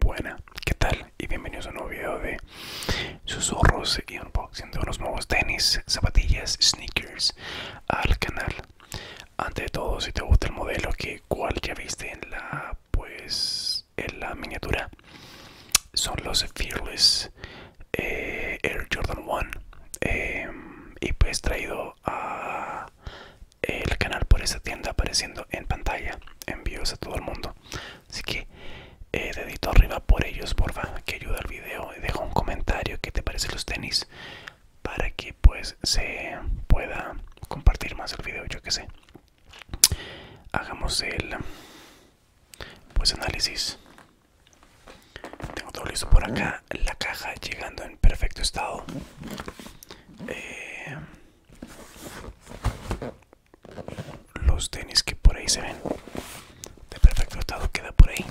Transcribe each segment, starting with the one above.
Buena, ¿qué tal? Y bienvenidos a un nuevo video de susurros y unboxing de unos nuevos tenis, zapatillas, sneakers al canal. Ante todo, si te gusta el modelo que cual ya viste en la pues en la miniatura, son los Fearless eh, Air Jordan 1 em, y pues traído a el canal por esta tienda apareciendo en pantalla envíos a todo el mundo así que eh, dedito arriba por ellos porfa que ayuda al video deja un comentario que te parecen los tenis para que pues se pueda compartir más el video yo que sé hagamos el pues análisis tengo todo listo por acá. La caja llegando en perfecto estado. Eh, los tenis que por ahí se ven. De perfecto estado queda por ahí.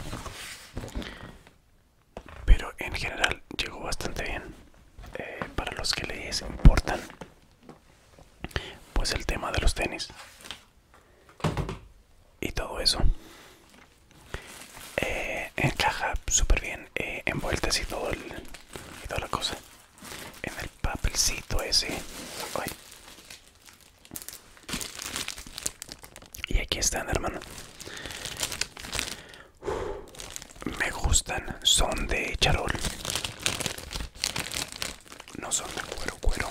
Pero en general llegó bastante bien. Eh, para los que les importan. Pues el tema de los tenis y todo eso eh, encaja súper bien eh, envueltas y todo el, y toda la cosa en el papelcito ese y aquí están hermano me gustan son de charol no son de cuero cuero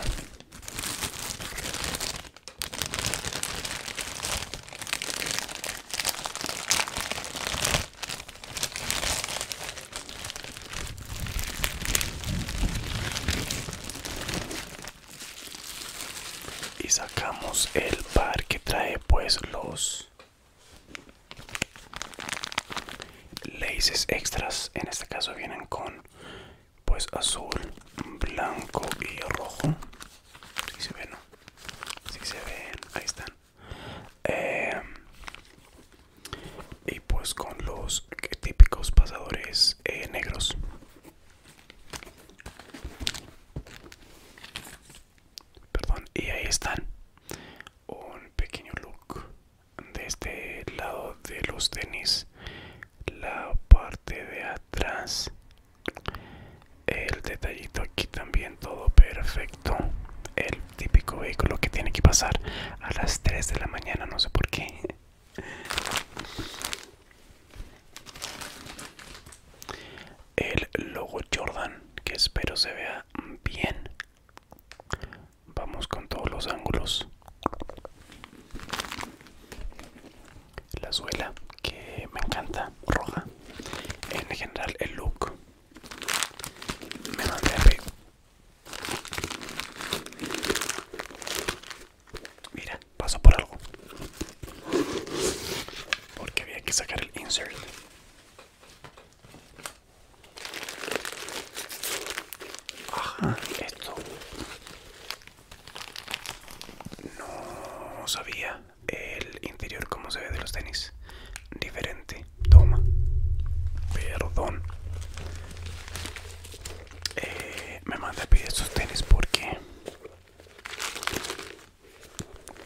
y sacamos el par que trae pues los laces extras en este caso vienen con pues azul, blanco y rojo. Si se ven, ¿no? Si se ven, ahí están. Eh, y pues con los típicos pasadores eh, negros. Perdón, y ahí están. Un pequeño look de este lado de los tenis la parte de atrás el detallito aquí también todo perfecto el típico vehículo que tiene que pasar a las 3 de la mañana no sé por qué el logo Jordan que espero se vea bien vamos con todos los ángulos la suela que me encanta roja en general el look me mandé arriba mira pasó por algo porque había que sacar el insert Ajá, esto. No sabía el interior como se ve de los tenis. Diferente. Toma. Perdón. Eh, me mandé a pedir estos tenis porque...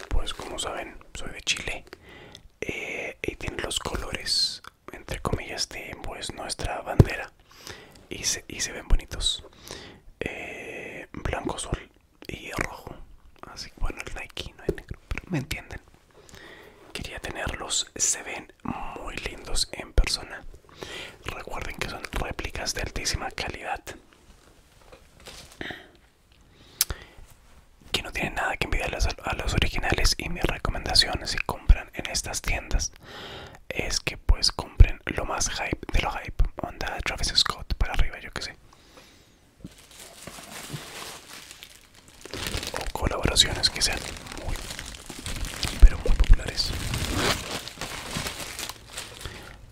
Pues como saben, soy de Chile. Eh, y tienen los colores entre comillas de pues nuestra bandera y se, ven bonitos eh, blanco azul y rojo así que bueno el Nike no es negro pero me entienden quería tenerlos se ven muy lindos en persona recuerden que son réplicas de altísima calidad que no tienen nada que envidiar a los originales y mi recomendación si compran en estas tiendas es que pues compren lo más hype de lo hype. Onda Travis Scott para arriba, yo que sé. O colaboraciones que sean muy, pero muy populares.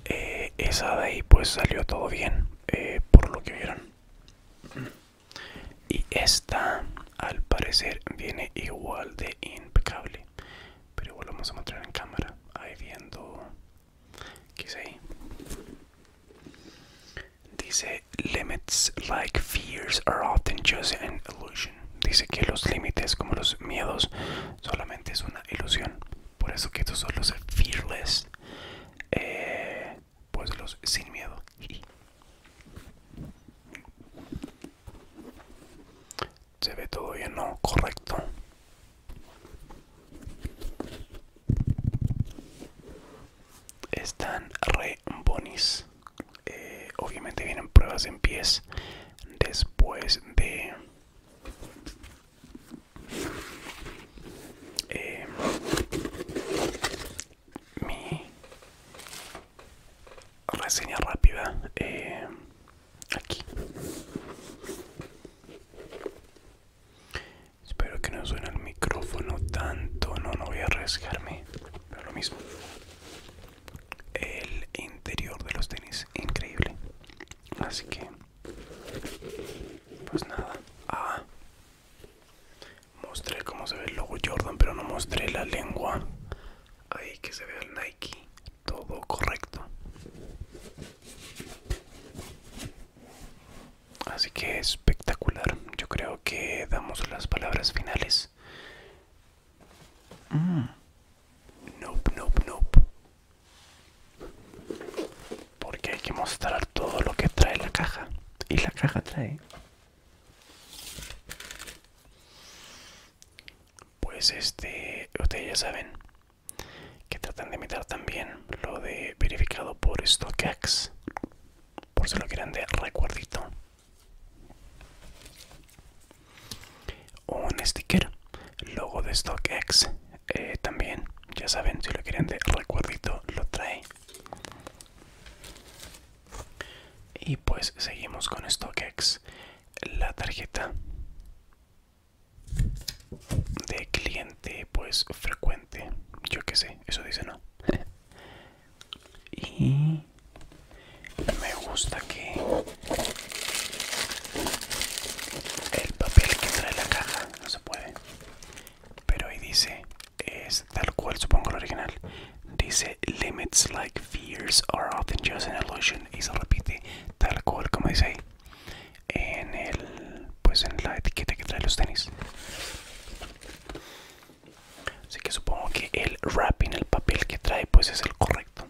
Eh, esa de ahí pues salió todo bien, eh, por lo que vieron y esta al parecer viene igual de impecable pero igual lo vamos a mostrar en cámara ahí viendo ahí dice limits like fears are often just an illusion dice que los límites como los miedos solamente es una ilusión por eso que estos son los fearless eh, pues los sin miedo se ve todo bien, ¿no? Correcto. Están re bonis. Eh, obviamente vienen pruebas en pies después de... Eh, mi reseña rápida eh, aquí. Espero que no suene el micrófono tanto, no, no voy a arriesgarme, pero lo mismo. El interior de los tenis, increíble. Así que, pues nada. Ah, mostré cómo se ve el logo Jordan, pero no mostré la lengua Ahí que se vea el Nike. Todo correcto. Así que espectacular. Yo creo que damos las palabras finales. Mm. Nope, nope, nope. Porque hay que mostrar todo lo que trae la caja. Y la caja trae pues este, ustedes ya saben que tratan de imitar también lo de verificado por StockX, por si lo quieren de recuerdito. Un sticker, logo de StockX, eh, también, ya saben, si lo quieren de recuerdito lo trae y pues seguimos con StockX la tarjeta de cliente pues frecuente yo que sé eso dice no y me gusta que el papel que trae la caja no se puede pero ahí dice es tal cual supongo el original. Dice limits like fears are often just an illusion y se repite tal cual como dice ahí en el pues en la etiqueta que trae los tenis. Así que supongo que el wrapping, el papel que trae, pues es el correcto.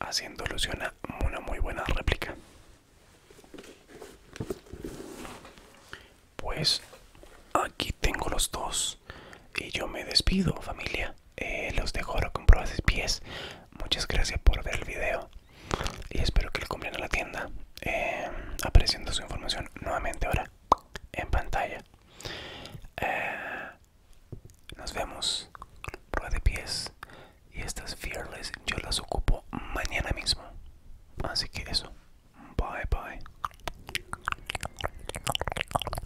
Haciendo ilusión a una muy buena réplica. Pues aquí tengo los dos. Y yo me despido, familia. Eh, los dejo ahora con pruebas de pies. Muchas gracias por ver el video. Y espero que lo compren en la tienda. Eh, apareciendo su información nuevamente ahora en pantalla. Eh, nos vemos. prueba de pies. Y estas fearless yo las ocupo mañana mismo. Así que eso. Bye bye.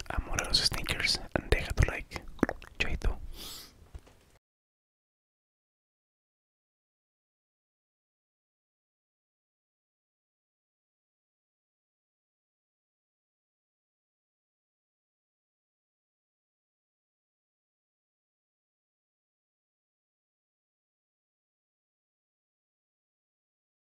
Amo los sneakers and deja tu like. Chaito.